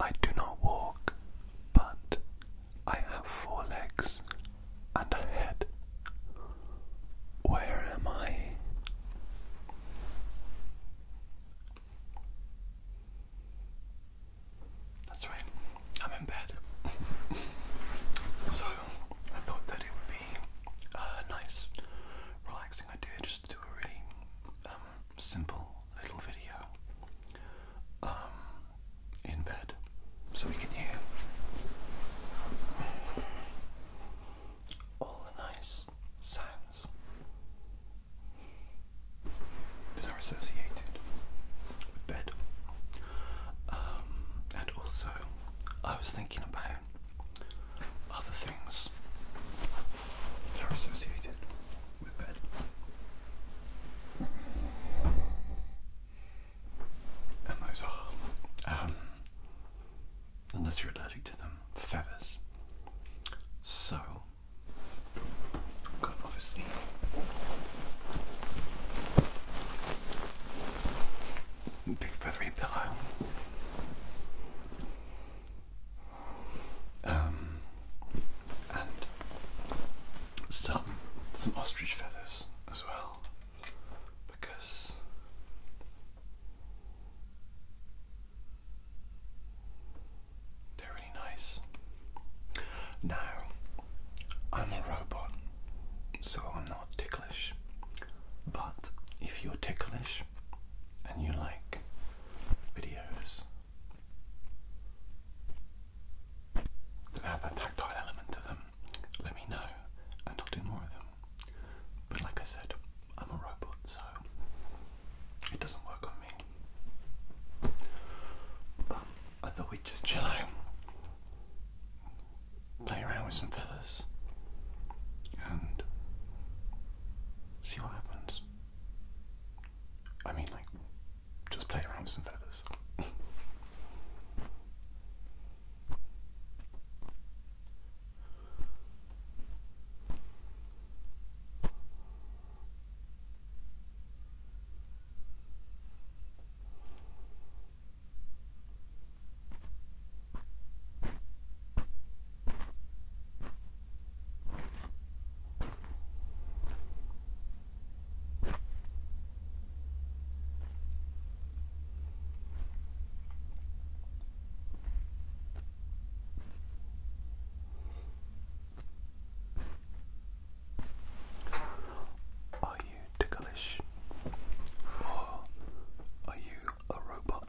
I do not walk, but I have four legs and a head. Where am I? That's right, I'm in bed. so I thought that it would be a uh, nice, relaxing idea just do a really um, simple little video um, in bed so we can hear all the nice sounds that are associated with bed. Um, and also, I was thinking about other things are associated with bed. And those are, um, unless you're allergic to them, feathers. So, i obviously big feathery pillow. Um, and some some ostrich feathers as well, because they're really nice. Now, I'm a robot, so I'm not ticklish. But if you're ticklish, and you like videos that have that tactile element to them, let me know and I'll do more of them. But like I said, I'm a robot, so it doesn't work on me. But I thought we'd just chill out, play around with some feathers and see what happens. I mean, like, just play around with some feathers. Are you ticklish? Or are you a robot?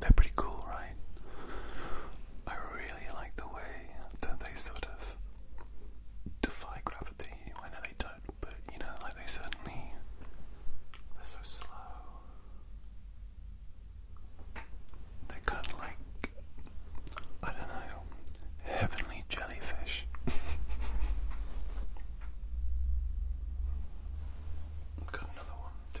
They're pretty cool, right? I really like the way that they sort of defy gravity. I know they don't, but you know, like they certainly. They're so slow. They're kind of like. I don't know. Heavenly jellyfish. Got another one, too.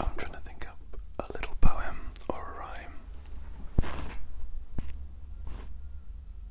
I'm trying to think up a little poem or a rhyme.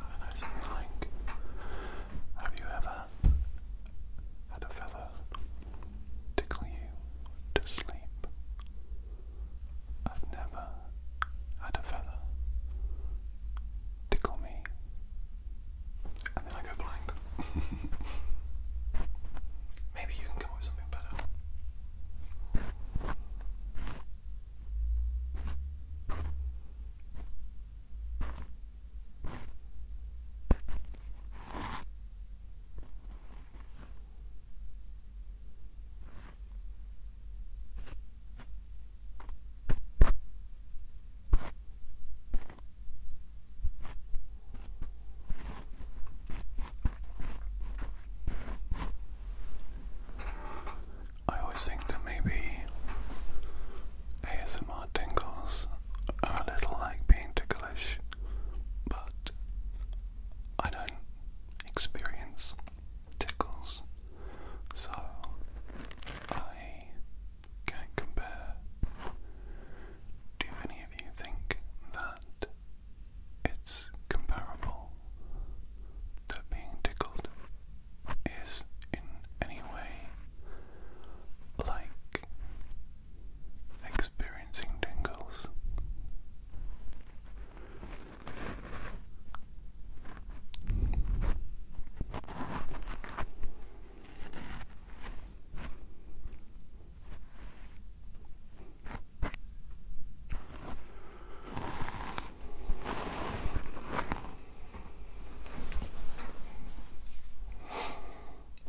I don't know, Have you ever had a fella tickle you to sleep? I've never had a fella tickle me and then I go blank. Maybe you can come up with something better. I always think that maybe ASMR tingles are a little like being ticklish, but I don't experience tickles, so I can't compare. Do any of you think that it's comparable that being tickled is in any way like experiencing tingles?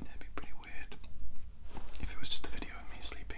That'd be pretty weird if it was just a video of me sleeping.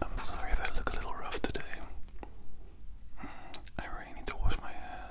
I'm sorry if I look a little rough today. I really need to wash my hair.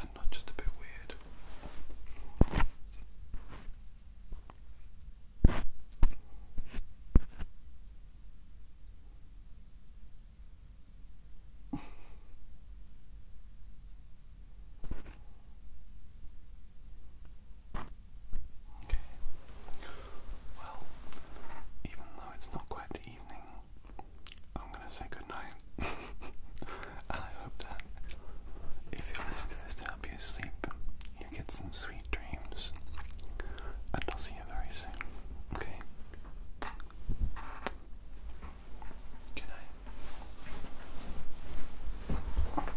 and not just a bit weird. Okay. Well, even though it's not quite the evening, I'm gonna say goodnight. and I hope that if you're listening to this to help you sleep, you get some sweet dreams. And I'll see you very soon. Okay? Good night.